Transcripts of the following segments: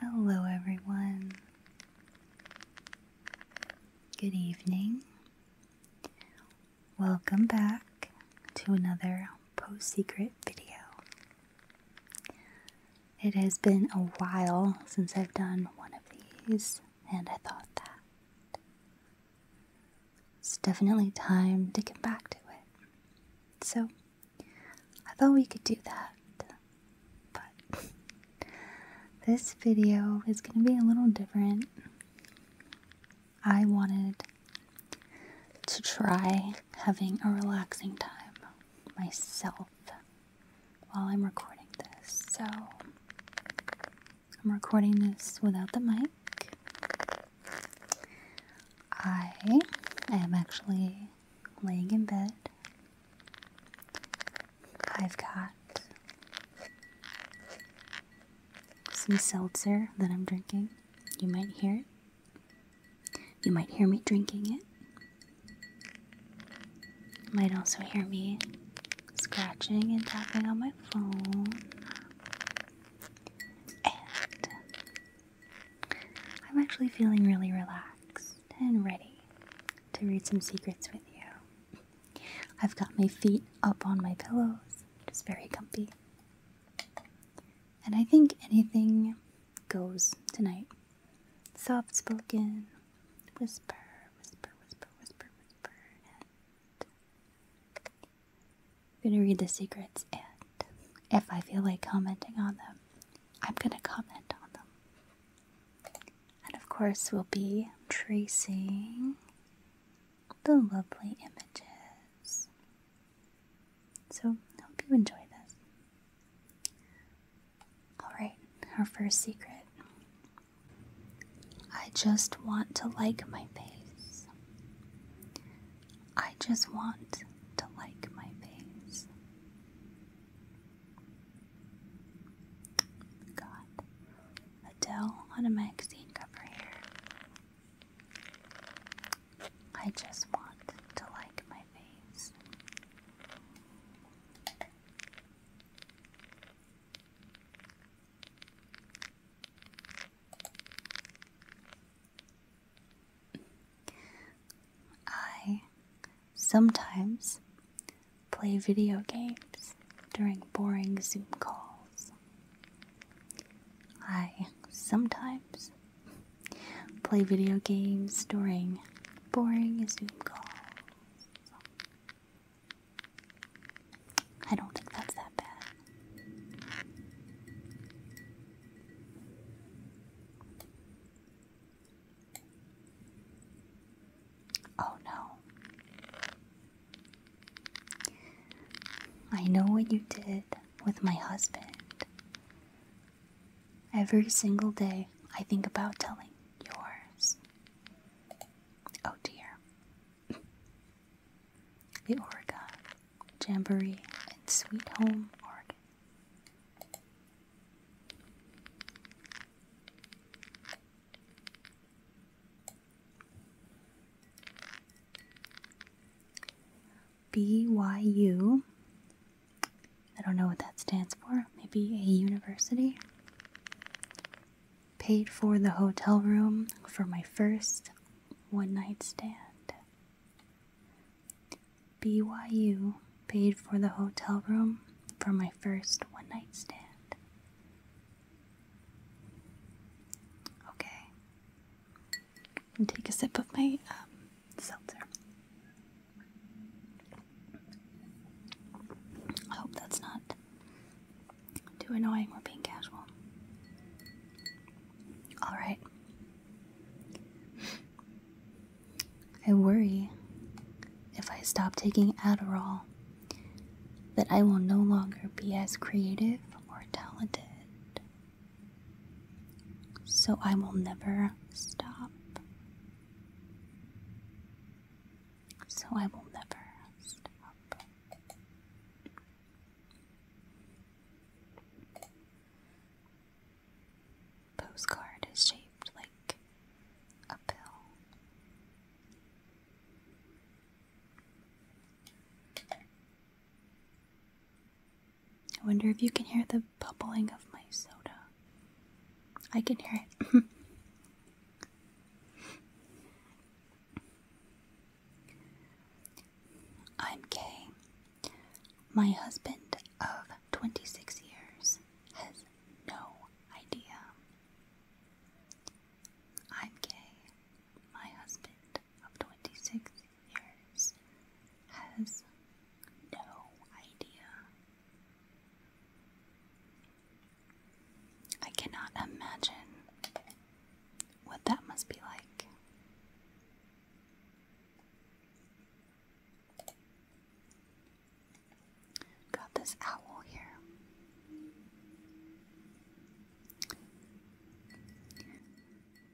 Hello, everyone. Good evening. Welcome back to another Post Secret video. It has been a while since I've done one of these, and I thought that it's definitely time to get back to it. So, I thought we could do that. But this video is going to be a little different. I wanted to try having a relaxing time myself while I'm recording this. So, I'm recording this without the mic. I am actually laying in bed. I've got some seltzer that I'm drinking. You might hear it. You might hear me drinking it. You might also hear me scratching and tapping on my phone. And I'm actually feeling really relaxed and ready to read some secrets with you. I've got my feet up on my pillows, just very comfy. And I think anything goes tonight. Soft spoken, whisper, whisper, whisper, whisper, whisper, I'm gonna read the secrets, and if I feel like commenting on them, I'm gonna comment on them. And of course, we'll be tracing the lovely images. So, I hope you enjoy this. Alright, our first secret. I just want to like my face. I just want to like my face. God, Adele on a magazine cover here. I just want to like my face. I sometimes play video games during boring Zoom calls. I sometimes play video games during boring Zoom calls. I don't think that's that bad. Oh no. I know what you did with my husband. Every single day, I think about telling yours. Oh dear the Oregon Jamboree and Sweet Home Oregon. BYU. I don't know what that stands for. Maybe a university. Paid for the hotel room for my first one night stand. BYU paid for the hotel room for my first one night stand. Okay. And take a sip of my um, seltzer. I hope that's not too annoying. We're being casual. All right. I worry if I stop taking Adderall that I will no longer be as creative or talented. So I will never stop. So I will never stop. Postcard is shaped like a pill. I wonder if you can hear the bubbling of my soda. I can hear it. I'm gay. My husband of 26 years has no idea. I'm Kay. My husband of 26 years has no idea. I cannot imagine what that must be like. Got this owl here.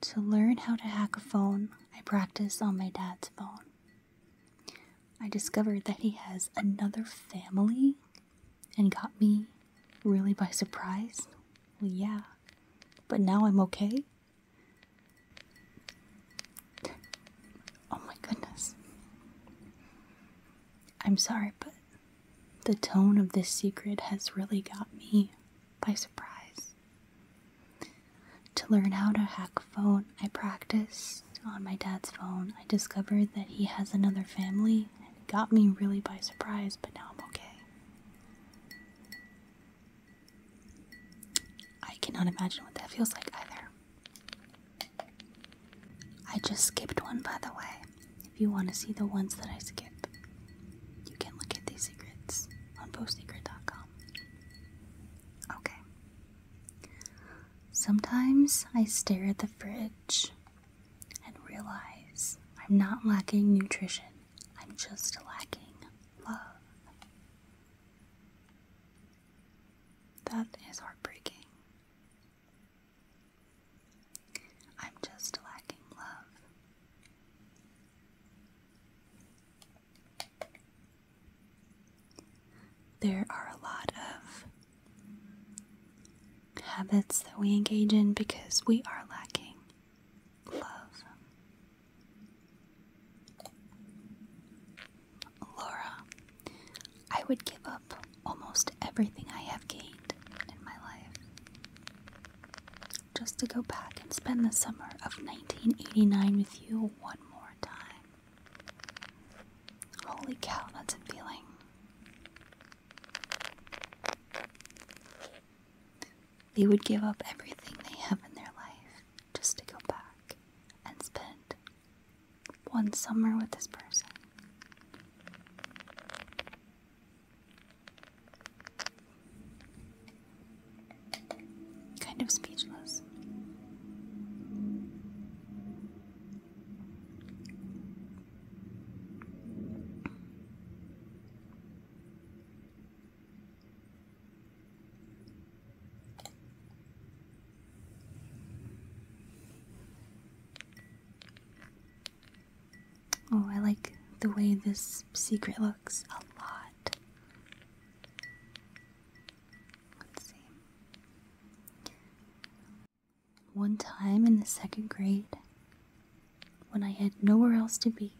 To learn how to hack a phone, I practiced on my dad's phone. I discovered that he has another family and got me really by surprise well, yeah, but now I'm okay. Oh my goodness. I'm sorry, but the tone of this secret has really got me by surprise. To learn how to hack a phone, I practice on my dad's phone. I discovered that he has another family and it got me really by surprise, but now I'm okay. I cannot imagine what that feels like either. I just skipped one, by the way. If you want to see the ones that I skip, you can look at these secrets on postsecret.com. Okay. Sometimes I stare at the fridge and realize I'm not lacking nutrition. I'm just lacking love. That is heartbreaking. I'm just lacking love. There are a lot of habits that we engage in because we are lacking Laura, I would give up almost everything I have gained in my life just to go back and spend the summer of 1989 with you one more time. Holy cow, that's a feeling. They would give up everything they have in their life just to go back and spend one summer with this person. Kind of speechless. Oh, I like the way this secret looks a lot. Let's see. One time in the second grade, when I had nowhere else to be,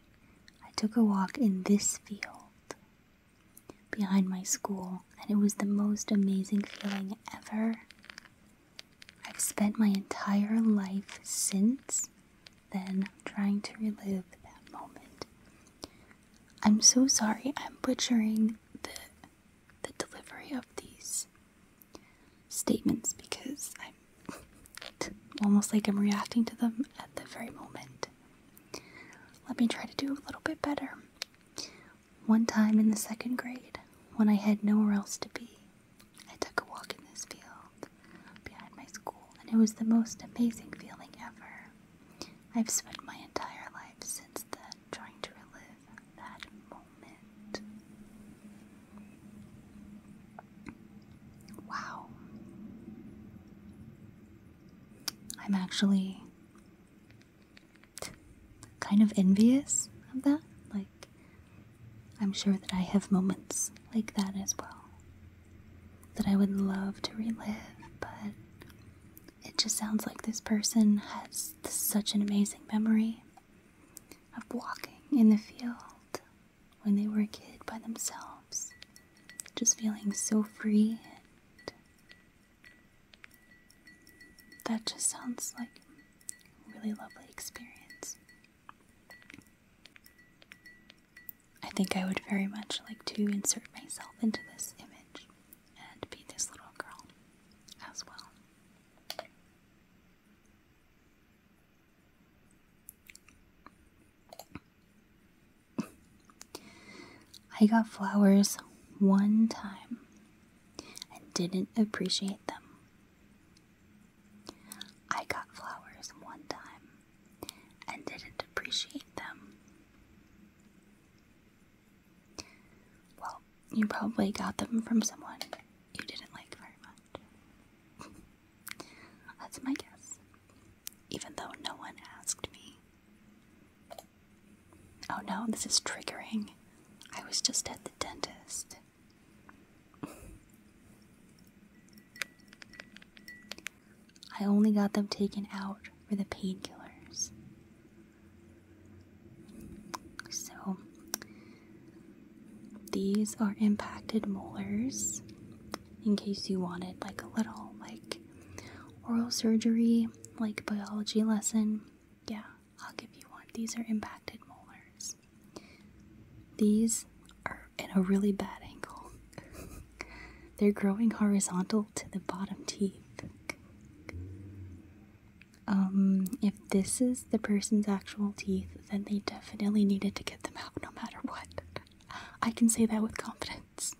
I took a walk in this field behind my school, and it was the most amazing feeling ever. I've spent my entire life since then trying to relive that moment. I'm so sorry, I'm butchering the the delivery of these statements because I am almost like I'm reacting to them at the very moment. Let me try to do a little bit better. One time in the second grade, when I had nowhere else to be, I took a walk in this field behind my school, and it was the most amazing feeling ever. I've spent my entire life since then trying to relive that moment. Wow. I'm actually kind of envious of that. Like, I'm sure that I have moments like that as well that I would love to relive, but it just sounds like this person has such an amazing memory of walking in the field when they were a kid by themselves, just feeling so free. And that just sounds like a really lovely experience. I think I would very much like to insert myself into this image and be this little girl as well. I got flowers one time and didn't appreciate them. I got flowers one time and didn't appreciate them. Well, you probably got them from someone you didn't like very much. That's my guess. Even though no one asked me. Oh no, this is triggering. I was just at the dentist. I only got them taken out for the painkillers. So, these are impacted molars in case you wanted like a little like oral surgery, like biology lesson. Yeah, I'll give you one. These are impacted molars. These are in a really bad angle. They're growing horizontal to the bottom teeth. Um, if this is the person's actual teeth, then they definitely needed to get them out no matter what. I can say that with confidence.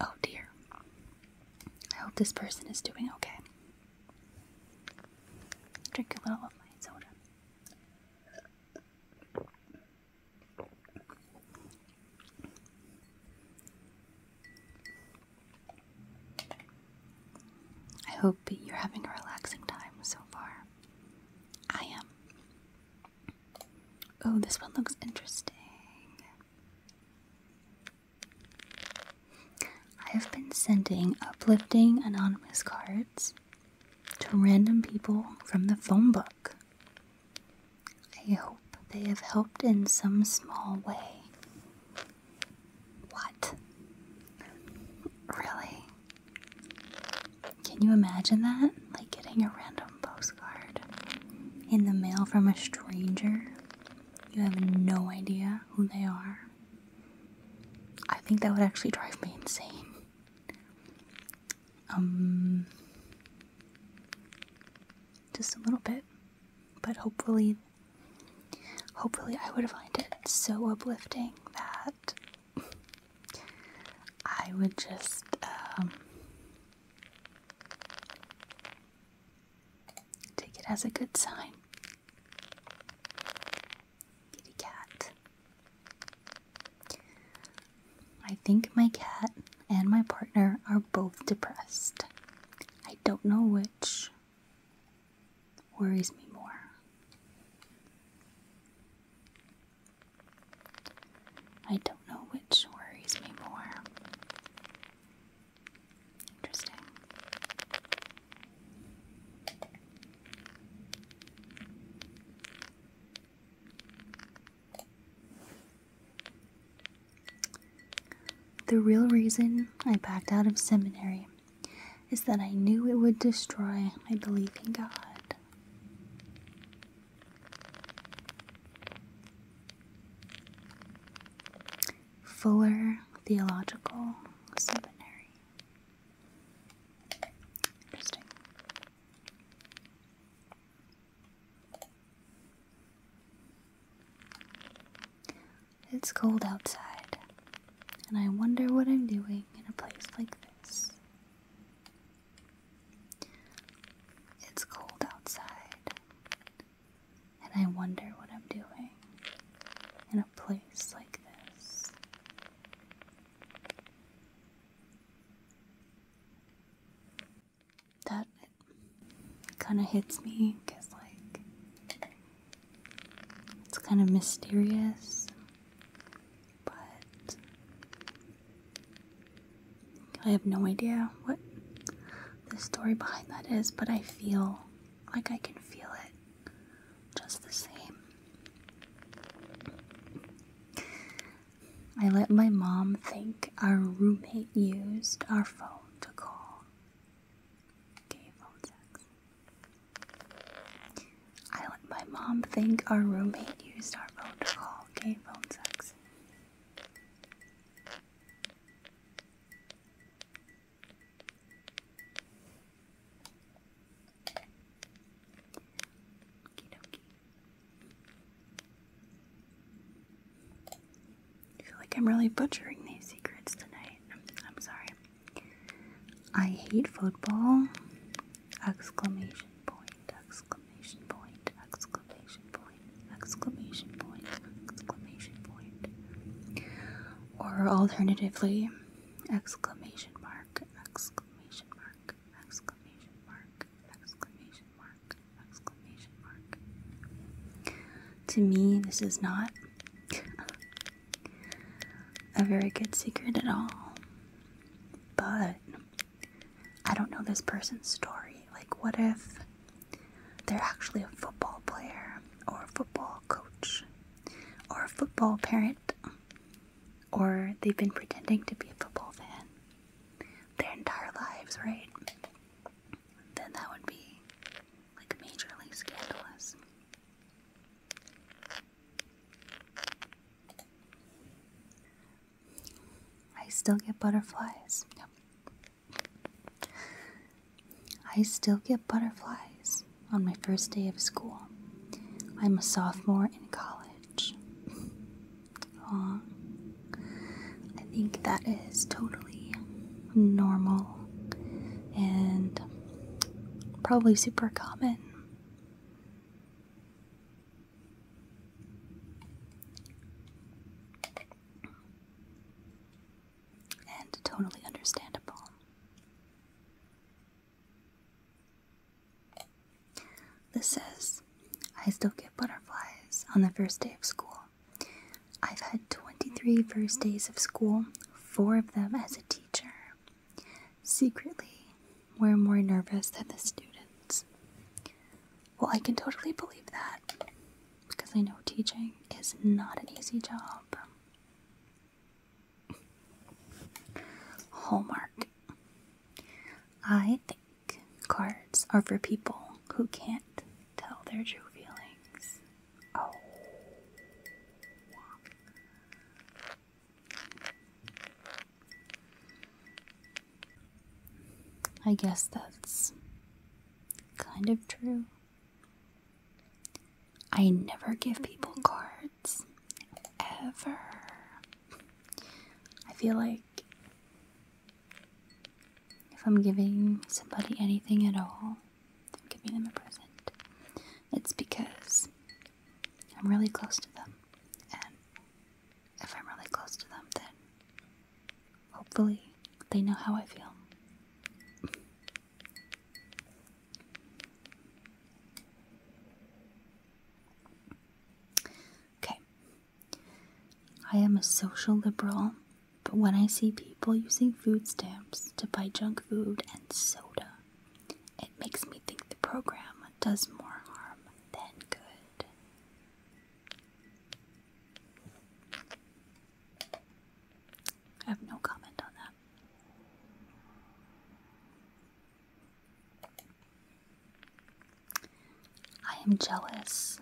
Oh dear. I hope this person is doing okay. Drink a little of my soda. I hope you're having a relaxing time so far. I am. Oh, this one looks interesting. I have been sending uplifting anonymous cards to random people from the phone book. I hope they have helped in some small way. What? Really? Can you imagine that? Like getting a random postcard in the mail from a stranger. You have no idea who they are. I think that would actually drive me insane. Um, just a little bit, but hopefully, hopefully, I would find it so uplifting that I would just um, take it as a good sign. Kitty cat. I think my cat and my partner are both depressed. I don't know which worries me more. I don't know which worries me more. Interesting. The real reason I backed out of seminary is that I knew it would destroy my belief in God. Fuller Theological Seminary. Interesting. It's cold outside, and I wonder what I'm doing in a place like this. It's cold outside, and I wonder what I'm doing in a place like this. That kind of hits me because, like, it's kind of mysterious but I have no idea what the story behind that is, but I feel like I can feel it just the same. I let my mom think our roommate used our phone to call gay phone sex. I let my mom think our roommate used our phone to call gay phone sex. I feel like I'm really butchering these secrets tonight. I'm sorry. I hate football. Exclamation point, exclamation point, exclamation point, exclamation point, exclamation point. Or alternatively, exclamation mark, exclamation mark, exclamation mark, exclamation mark, exclamation mark. To me, this is not a very good secret at all. But I don't know this person's story. Like, what if they're actually a football player, or a football coach, or a football parent, or they've been pretending to be a football fan their entire lives, right? Then that would be like majorly scandalous. I still get butterflies. I still get butterflies on my first day of school. I'm a sophomore in college. Aww. I think that is totally normal and probably super common and totally understandable. This says, I still get butterflies on the first day of school. I've had 23 first days of school, four of them as a teacher. Secretly, we're more nervous than the students. Well, I can totally believe that because I know teaching is not an easy job. Hallmark. I think cards are for people who can't tell their true feelings. Oh. I guess that's kind of true. I never give people cards. Ever. I feel like if I'm giving somebody anything at all, giving them a present. It's because I'm really close to them. And if I'm really close to them, then hopefully they know how I feel. okay. I am a social liberal, but when I see people using food stamps to buy junk food and soda, it makes me think the program does more harm than good. I have no comment on that. I am jealous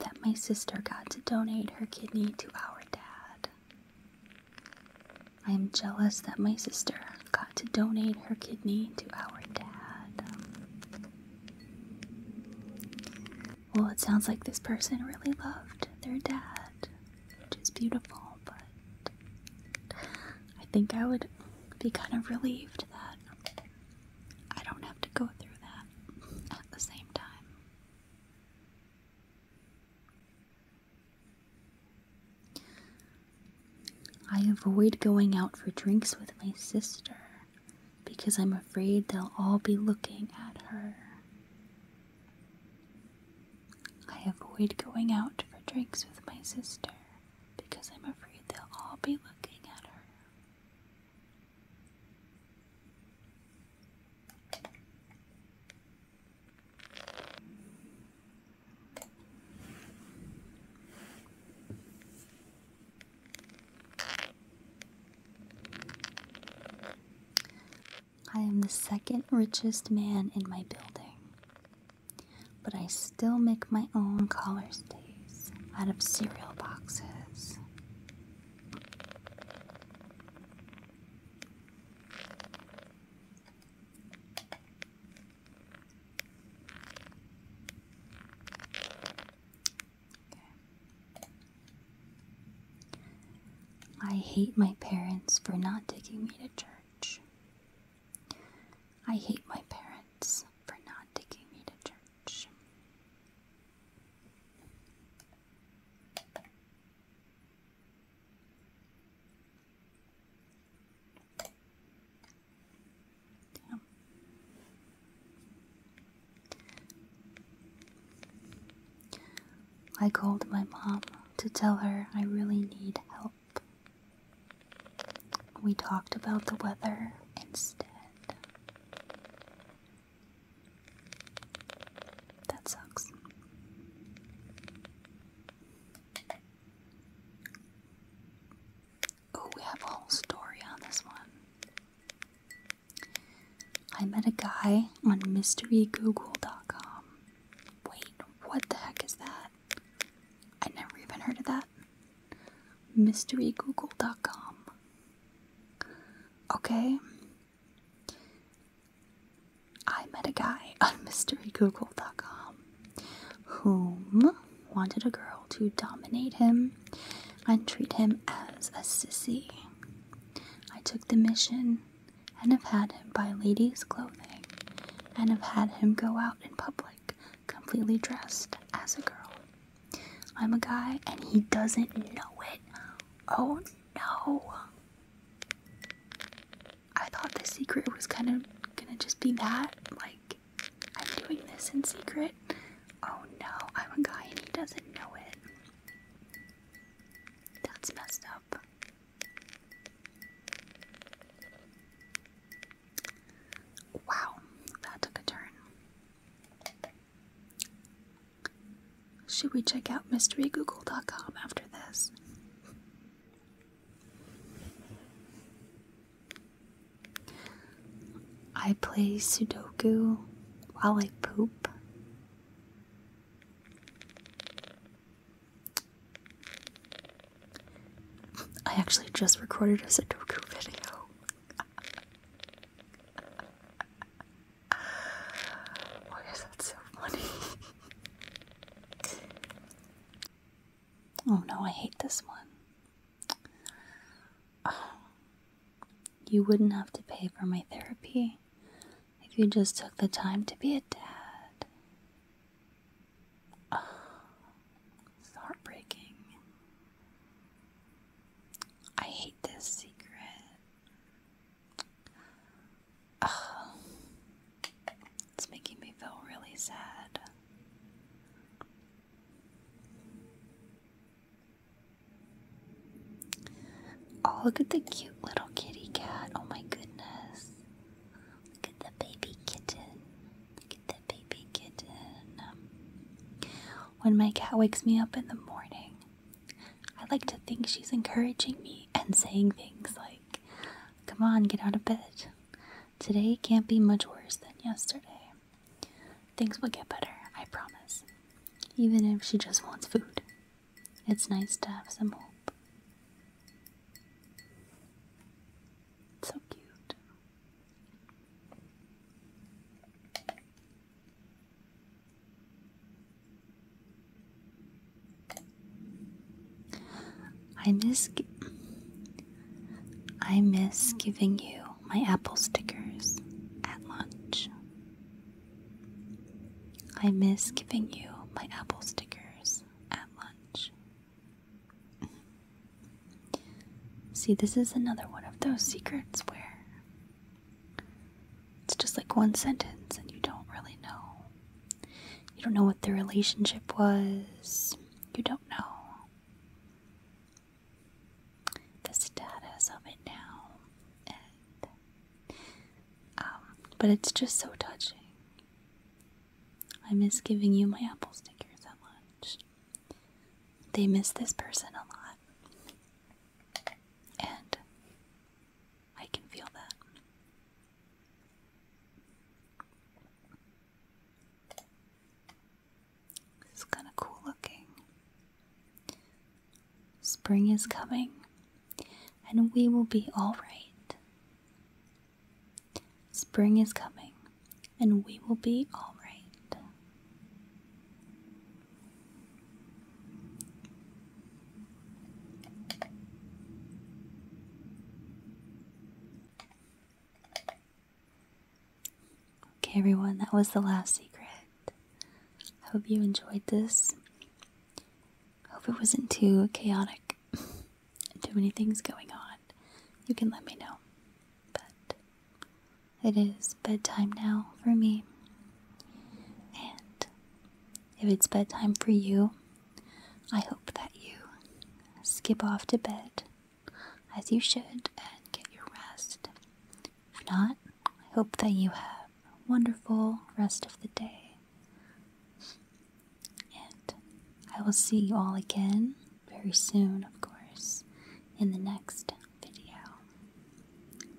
that my sister got to donate her kidney to our dad. I am jealous that my sister got to donate her kidney to our dad. Well, it sounds like this person really loved their dad, which is beautiful, but I think I would be kind of relieved that I don't have to go through that at the same time. I avoid going out for drinks with my sister because I'm afraid they'll all be looking at her. I avoid going out for drinks with my sister because I'm afraid they'll all be looking at her. I am the second richest man in my building, but I still make my own collar days out of cereal boxes. I hate my parents for not taking me to church. I hate my parents for not taking me to church. I called my mom to tell her I really need help. We talked about the weather instead. That sucks. Oh, we have a whole story on this one. I met a guy on mysterygoogle.com. Wait, what the heck is that? I never even heard of that. Mysterygoogle.com. Okay. I met a guy on mysterygoogle.com whom wanted a girl to dominate him and treat him as a sissy. I took the mission and have had him buy ladies' clothing and have had him go out in public completely dressed as a girl. I'm a guy and he doesn't know it. Oh no. I thought the secret was kind of gonna just be that. Like, I'm doing this in secret. Oh no, I'm a guy and he doesn't know it. That's messed up. Wow, that took a turn. Should we check out mysterygoogle.com after this? I play Sudoku while I poop. I actually just recorded a Sudoku video. Why is that so funny? Oh no, I hate this one. Ah, you wouldn't have to pay for my therapy if you just took the time to be a dad. It's ah, heartbreaking. I hate this secret. Ah, it's making me feel really sad. Oh, look at the cute little kitty cat. Oh my goodness. Look at the baby kitten. Look at the baby kitten. When my cat wakes me up in the morning, I like to think she's encouraging me and saying things like, Come on, get out of bed. Today can't be much worse than yesterday. Things will get better, I promise. Even if she just wants food. It's nice to have some hope. So cute. I miss I miss giving you my apple stickers at lunch. I miss giving you my apple stickers at lunch. See, this is another one of those secrets where it's just like one sentence and you don't really know. You don't know what the relationship was. You don't do the status of it now, um, but it's just so touching. I miss giving you my apple stickers at lunch. They miss this person a lot, and I can feel that. It's kind of cool looking. Spring is coming, and we will be alright. Spring is coming, and we will be alright. Okay, everyone, that was the last secret. I hope you enjoyed this. Hope it wasn't too chaotic, too many things going on. You can let me know. But it is bedtime now for me. And if it's bedtime for you, I hope that you skip off to bed as you should and get your rest. If not, I hope that you have a wonderful rest of the day. And I will see you all again very soon, of course, in the next video.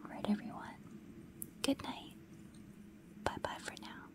All right, everyone. Good night. Bye bye for now.